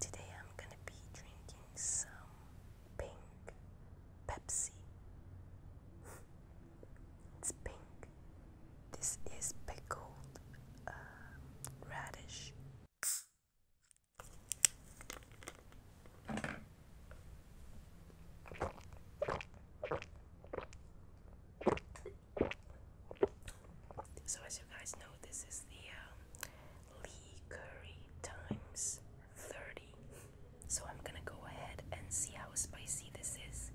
Today I'm going to be drinking some pink Pepsi. it's pink. This is pickled uh, radish. So, as you guys know, this is the um, Lee Curry times 30. So, I'm gonna go ahead and see how spicy this is,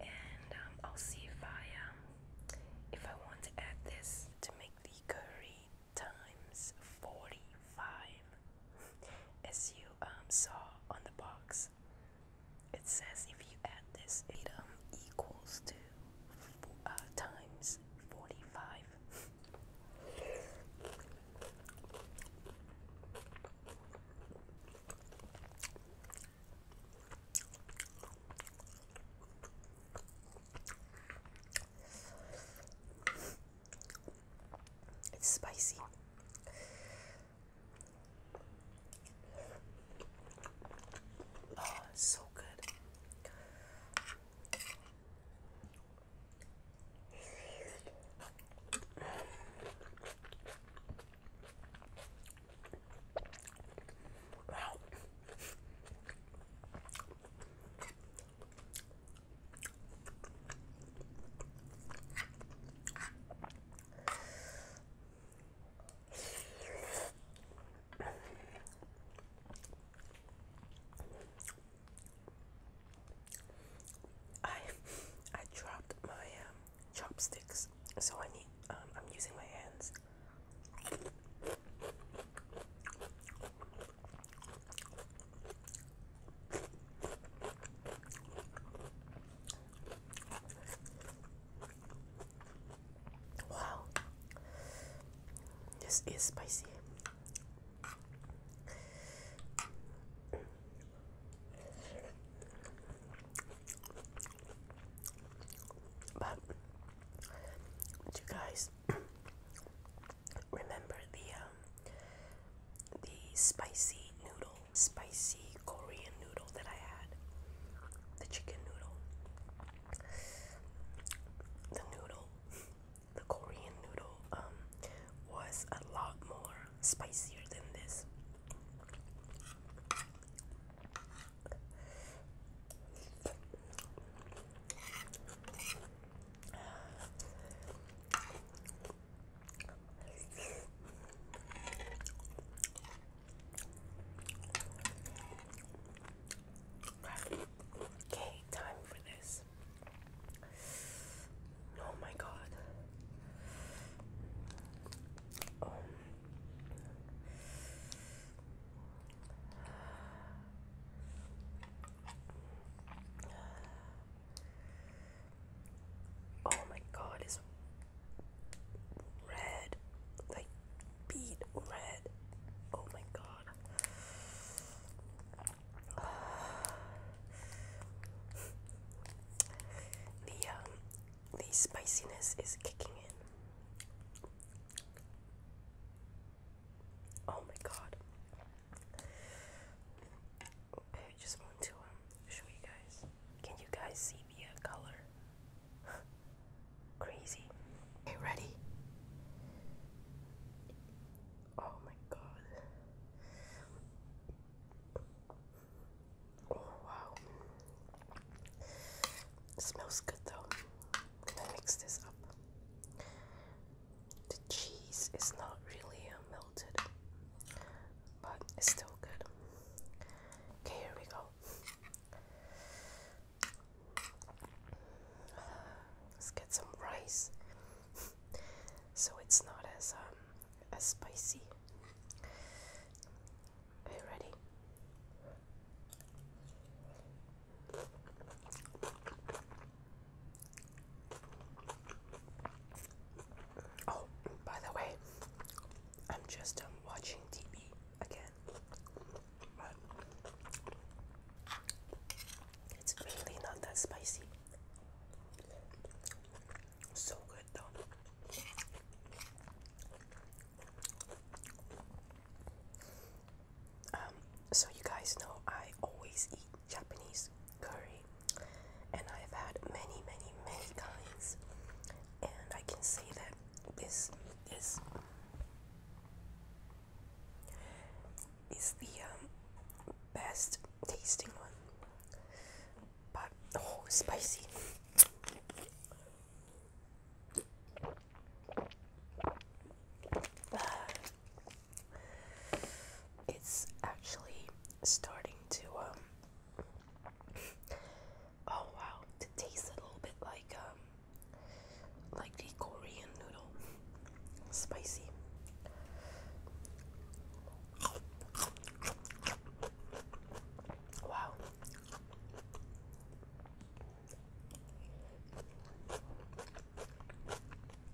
and um, I'll see if I um, if I want to add this to make the curry times 45 as you um, saw on the box it says if you add this item um, equals to uh, times 45 it's spicy. Oh, so good. Wow. I I dropped my um, chopsticks, so I need um, I'm using my hands. Wow, this is spicy. But you guys remember the um, the spicy noodle, spicy Korean noodle that I had, the chicken noodle, the noodle, the Korean noodle um, was a lot more spicier than this. Okay, time for this. Oh my god. Um, Oh my god, it's red. Like beat red. Oh my god. the um, the spiciness is kicking in. Oh my god. I just want to um, show you guys. Can you guys see the uh, color? Crazy. Okay, ready? Oh my god. Oh wow. smells good though. Can I mix this up? The cheese is not really uh, melted, but it's still good. Okay, here we go. Let's get some rice, so it's not as um as spicy. Are ready? Oh, by the way, I'm just um, watching TV again, it's really not that spicy. So good though. Um, so you guys know I always eat Japanese curry, and I've had many, many, many kinds, and I can say that this is is the um, best tasting one. But oh, spicy. It's actually starting to um, oh wow to taste a little bit like um, like the Korean noodle spicy wow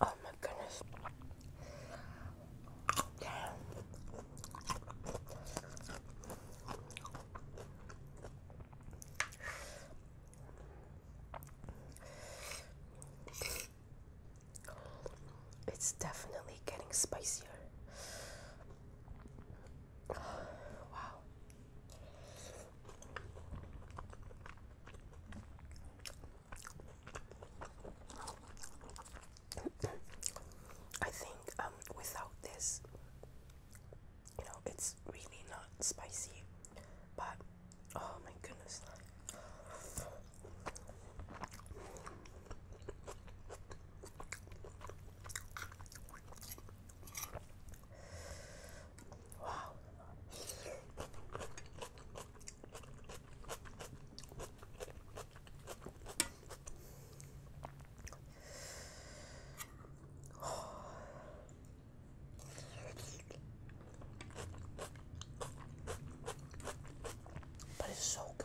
Oh my goodness. It's definitely getting spicier. Wow. I think um, without this, you know, it's really not spicy, but oh my goodness. Wow. But it's so good.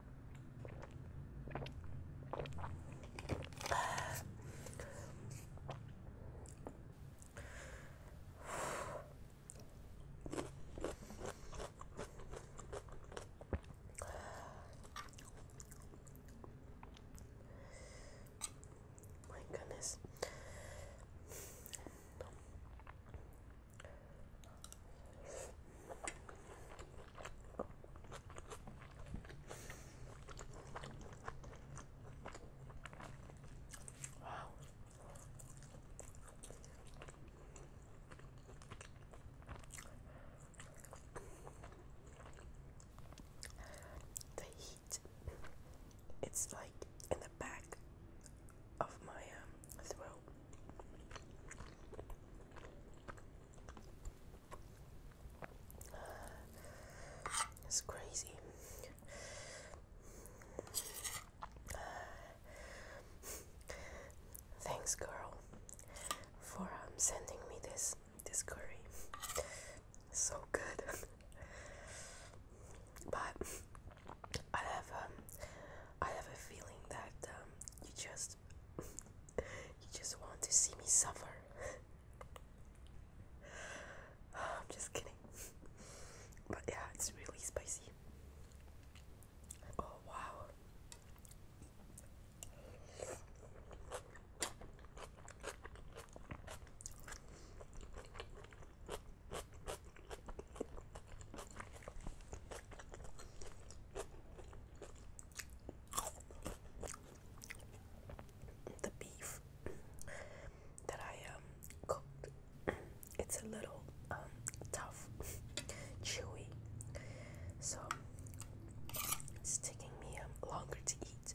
My goodness. The heat, it's like in the back of my um, throat. It's crazy. Thanks, girl, for um, sending me this this curry. So good. but I have um, I have a feeling that um, you just you just want to see me suffer. I'm just kidding. But yeah, it's really spicy. Oh, wow the beef that I um cooked. It's a little um tough, chewy, so it's taking me um, longer to eat.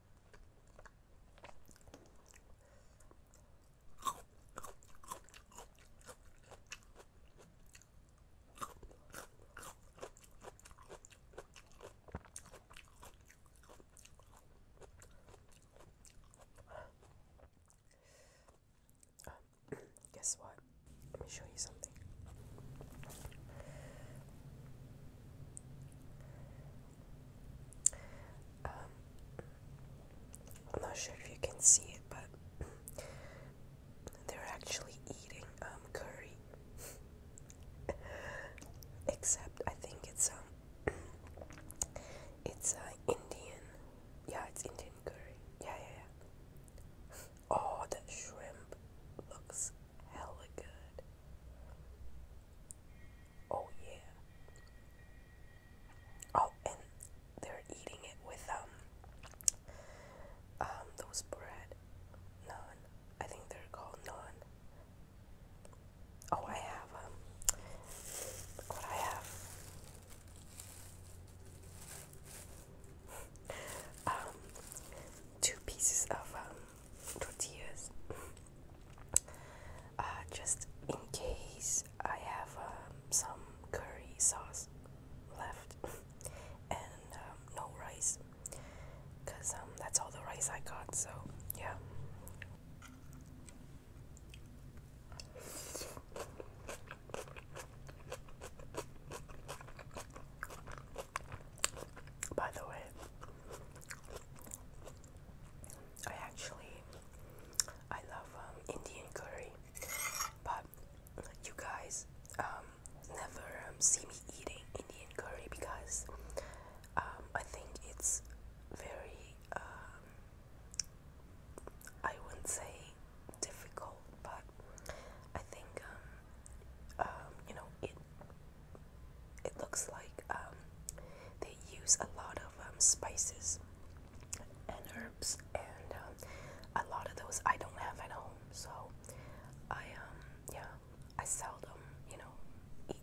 guess what? Let me show you something. Um, I'm not sure if you can see it, but they're actually eating um, curry. Except I think it's um, it's uh, Indian. Yeah, it's Indian curry. Yeah, yeah, yeah. Oh, that shrimp looks hella good. Oh yeah. Oh, and they're eating it with um, um, those bread, naan. I think they're called naan. Oh, I have um, what I have. um, two pieces of um, tortillas uh, just in case I have um, some curry sauce left and um, no rice because um, that's all the rice I got so yeah by the way I actually I love um, Indian curry, but you guys um, never um, see me eating Indian curry because um, I think it's very um, I wouldn't say difficult, but I think um, um you know it it looks like um, they use a lot of um, spices and herbs, and um, a lot of those I don't have at home. So I yeah I seldom you know eat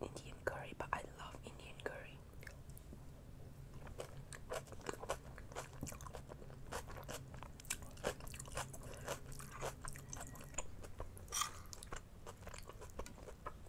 Indian curry, but I love Indian curry.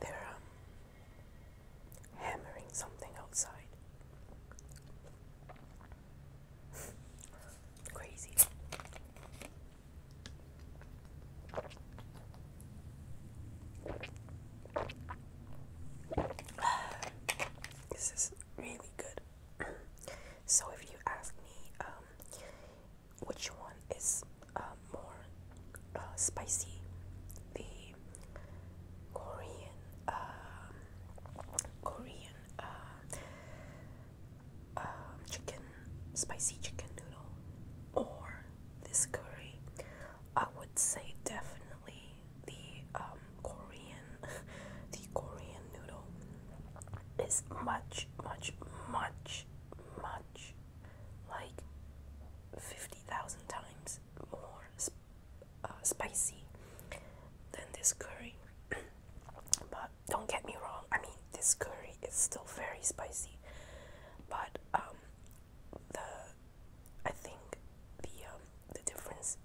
They're um, hammering something outside. Crazy. This is really good. So if you ask me um, which one is uh, more uh, spicy, the Korean uh, Korean uh, uh, chicken spicy chicken noodle or this curry, I would say definitely the um, Korean the Korean noodle is much much much much like 50,000 times more uh, spicy than this curry but don't get me wrong I mean this curry is still very spicy but um, the I think the um, the difference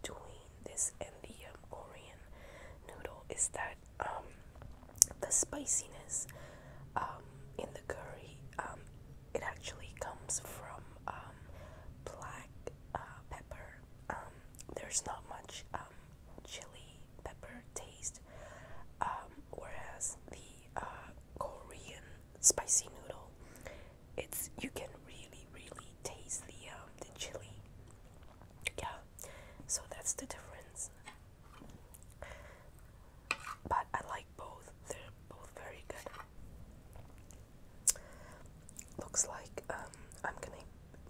between this and the um, Korean noodle is that um, the spiciness um, in the curry um, it actually comes from um, black uh, pepper. Um, there's not much um, chili pepper taste, um, whereas the uh, Korean spicy noodle, it's you can really really taste the um, the chili. Yeah, so that's the difference. But I like both, they're both very good. Looks like um, I'm gonna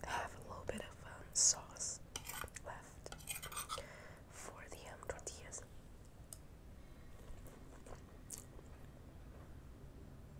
have a little bit of um, sauce left for the um, tortillas. Okay,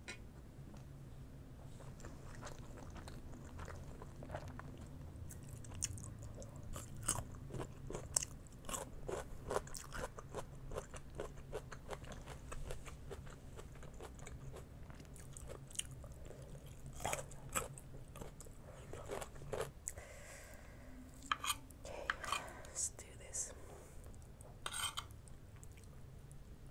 let's do this.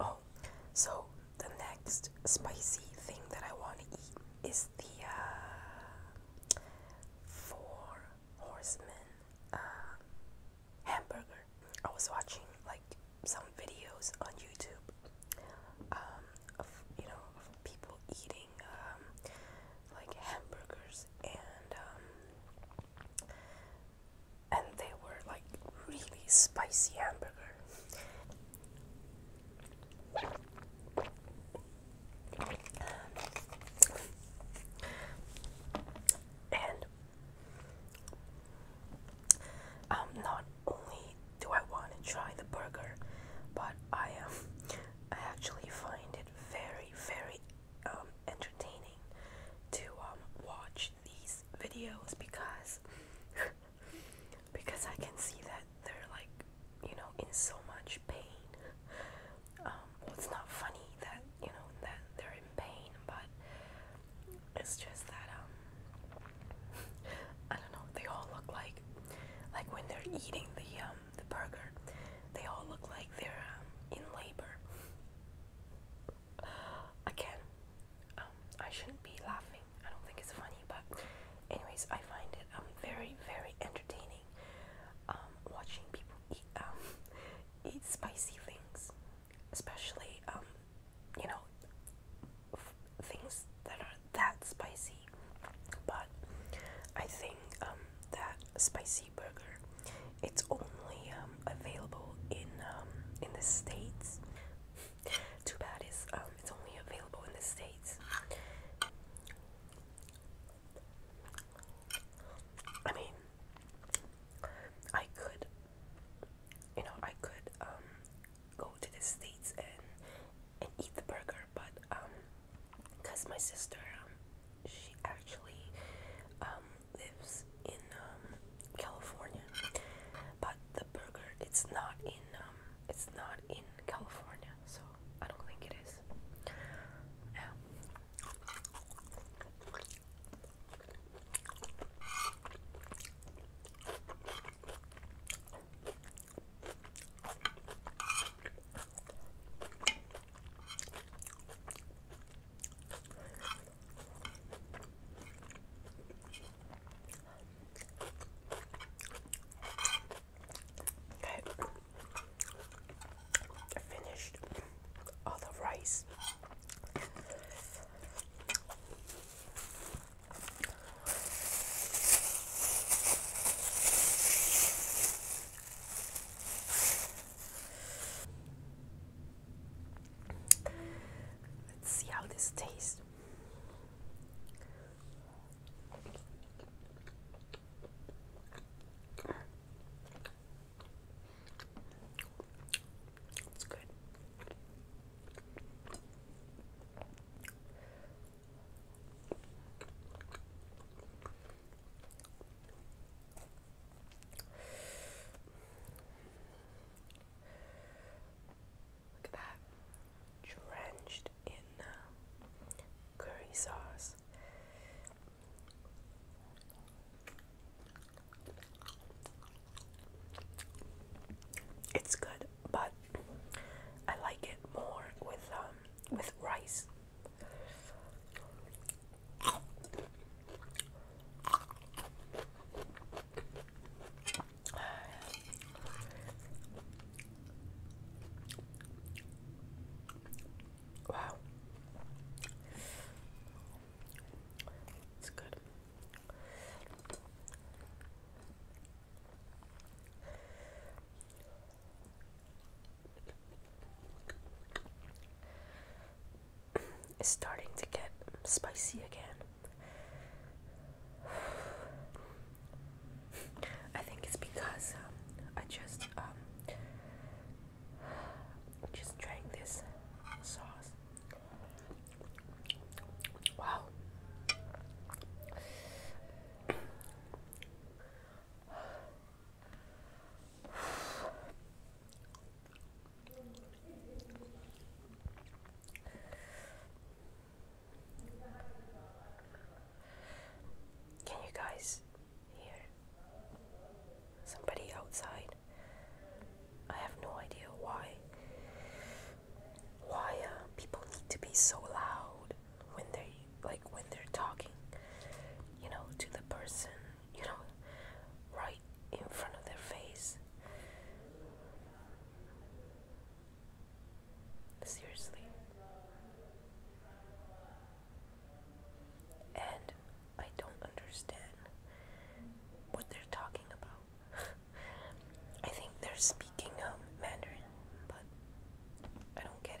Oh, so the next spicy thing that I want to eat is the uh, Four Horsemen uh, hamburger. I was watching like some videos on YouTube um, of you know people eating um, like hamburgers and um, and they were like really spicy hamburger. And um, not only do I want to try the burger, but I um, I actually find it very very um, entertaining to um, watch these videos because because I can see that they're like you know in so much pain. Um, well, it's not funny that you know that they're in pain, but it's just that um I don't know. They all look like like when they're eating the um the burger, they all look like they're um, in labor again, um, I shouldn't be laughing. I don't think it's funny, but anyways, I find it um very very entertaining. Um, watching people eat um eat spicy things, especially um you know things that are that spicy. But I think um that spicy burger. It's only um, available in um, in the states. Too bad is um, it's only available in the states. I mean, I could, you know, I could go to the states and and eat the burger, but um, cause my sister, um, she actually um lives in um, California, but the burger it's not in um, it's not in California, so I don't think it is. Yeah. Okay. I finished all the rice. Let's see how this tastes. It's good. Look at that. Drenched in uh, curry sauce. It's good, but I like it more with um with rice. Wow. It's good. It's starting to get spicy again. I think it's because um, I just um, just drank this sauce. Wow. Can you guys hear somebody outside? I have no idea why why uh, people need to be so loud when they like when they're talking, you know, to the person you know, right in front of their face. Seriously. And I don't understand what they're talking about. I think they're speaking um, Mandarin, but I don't get it.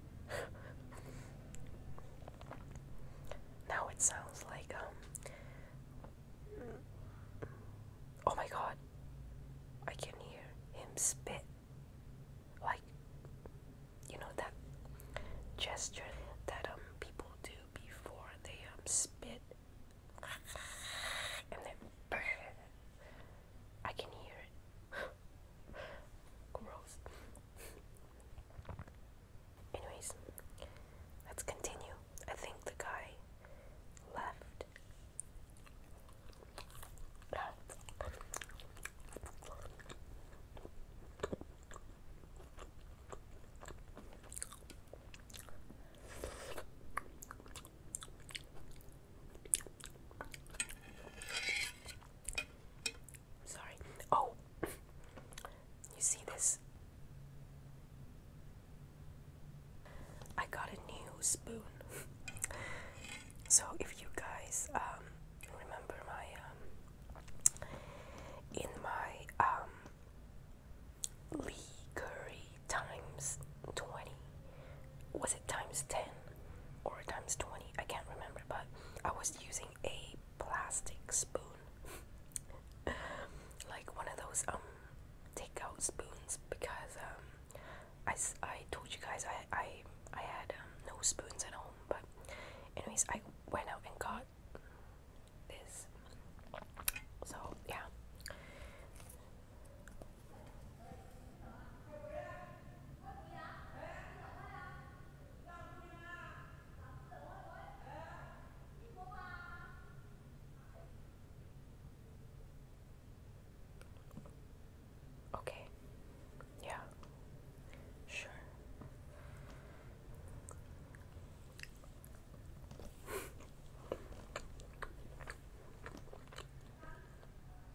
now it sounds like um oh my god I can hear him spit like you know that gesture that um people do before they um spit and then I can hear it Gross. Anyways, let's continue. I think the guy left. Sorry. Oh, you see this? I got a new spoon. so if you guys um, remember my um, in my um, Lee Curry times twenty, was it times ten or times twenty? I can't remember, but I was using a plastic spoon, like one of those um, takeout spoons, because um, I, I told you guys I I I had um, no spoons at home, but anyways I went out and got this. So yeah. Okay. Yeah. Sure.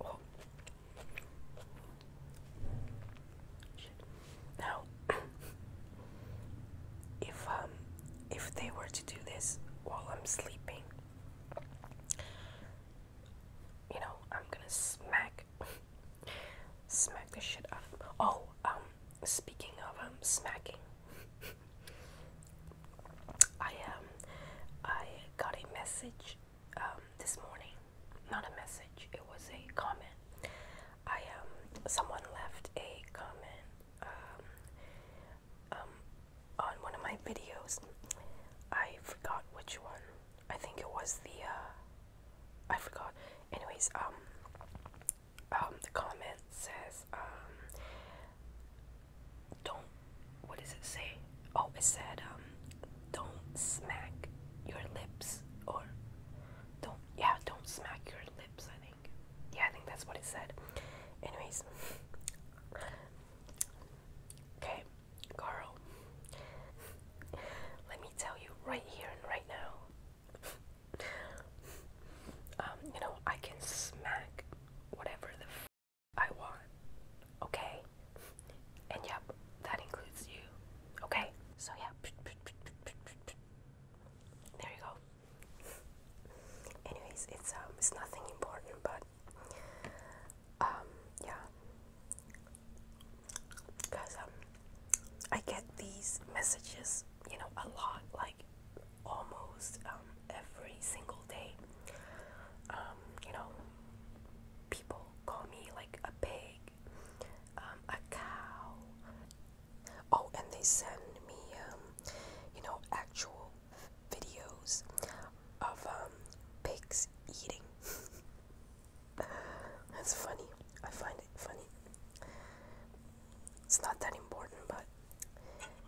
Oh. Now, if um, if they were to do this while I'm sleeping, you know, I'm gonna smack, smack this shit out of. Oh, um, speaking of um, smacking, I um I got a message um this morning. Not a message, it was a comment. I um someone left a comment um um on one of my videos. I forgot which one. I think it was the uh I forgot. Anyways, um um the comment says um, don't what does it say? Oh it said um, not smack your lips or don't yeah, don't smack your lips I think. Yeah, I think that's what it said. Anyways Okay, Carl. Let me tell you right here and right now um, you know, I can smack whatever the I want, okay? And yep, that includes you, okay? So, yeah, there you go. Anyways, it's um, it's nothing important, but um, yeah, guys, um, I get these messages, you know, a lot, like almost um, every single day. Um, you know, people call me like a pig, um, a cow. Oh, and they send me, you know, actual videos of pigs eating. That's funny. I find it funny. It's not that important, but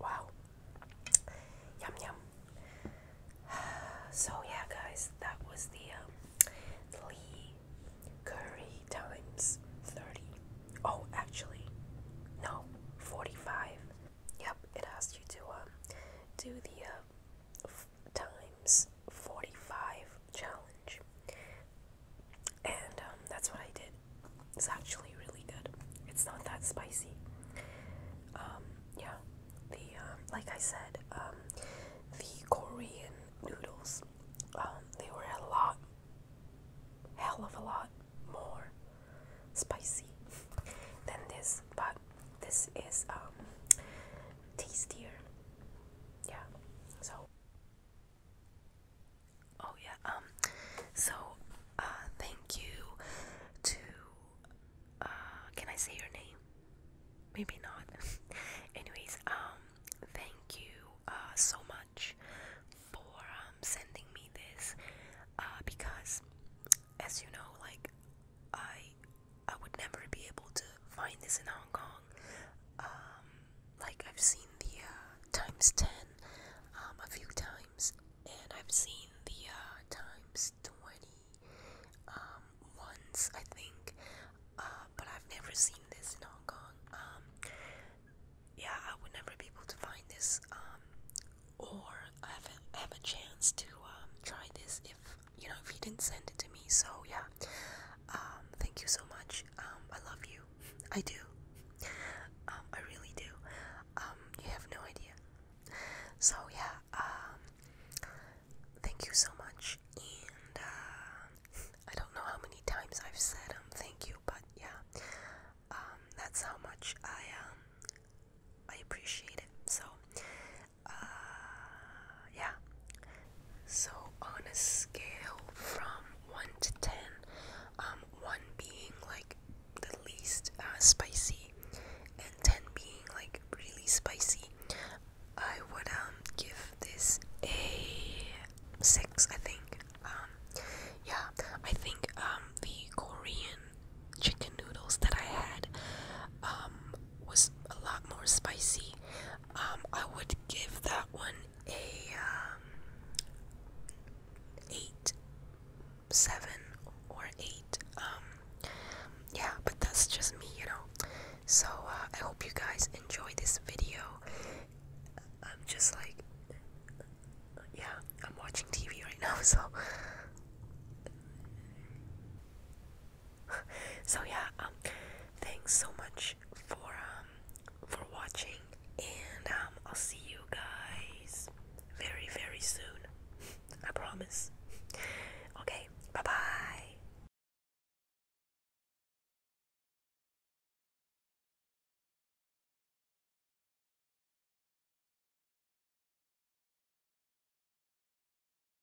Wow. Yum yum. So yeah, guys, that was the um, Lee Curry times thirty. Oh, actually, no, forty-five. Yep, it asked you to um do the uh, times 45 challenge. And um, that's what I did. It's actually really good. It's not that spicy. Um, yeah, the um, like I said, the Korean noodles, they were a lot, hell of a lot more spicy than this. But this is tastier. Yeah. So. Oh yeah. Um. So, uh, thank you to. Uh, can I say your name? Maybe not. Anyways, um, thank you uh, so much for um, sending me this uh, because, as you know, like I I would never be able to find this in Hong Kong. Um, like I've seen the uh, times ten um, a few times, and I've seen the uh, times twenty um, once I think, uh, but I've never seen this in Hong Kong. Um, yeah, I would never be able to find this, or have a, have a chance to try this if you know if you didn't send it to me so yeah um thank you so much um i love you i do um i really do um you have no idea so yeah um thank you so much and uh i don't know how many times i've said um thank you but yeah um that's how much i um I appreciate it. So, uh, yeah. So on a scale from one to ten, um, one being like the least uh, spicy, and ten being like really spicy, I would um give this a six. I think. Um, yeah, I think um the Korean chicken noodles that I had, um, was a lot more spicy. Um, I would give that one a um, eight, seven or eight. Um, yeah, but that's just me, you know. So uh, I hope you guys enjoy this video. I'm just like, yeah, I'm watching TV right now, so. so yeah, um, thanks so much for um for watching, and um, I'll see you guys very very soon. I promise. Okay, bye bye.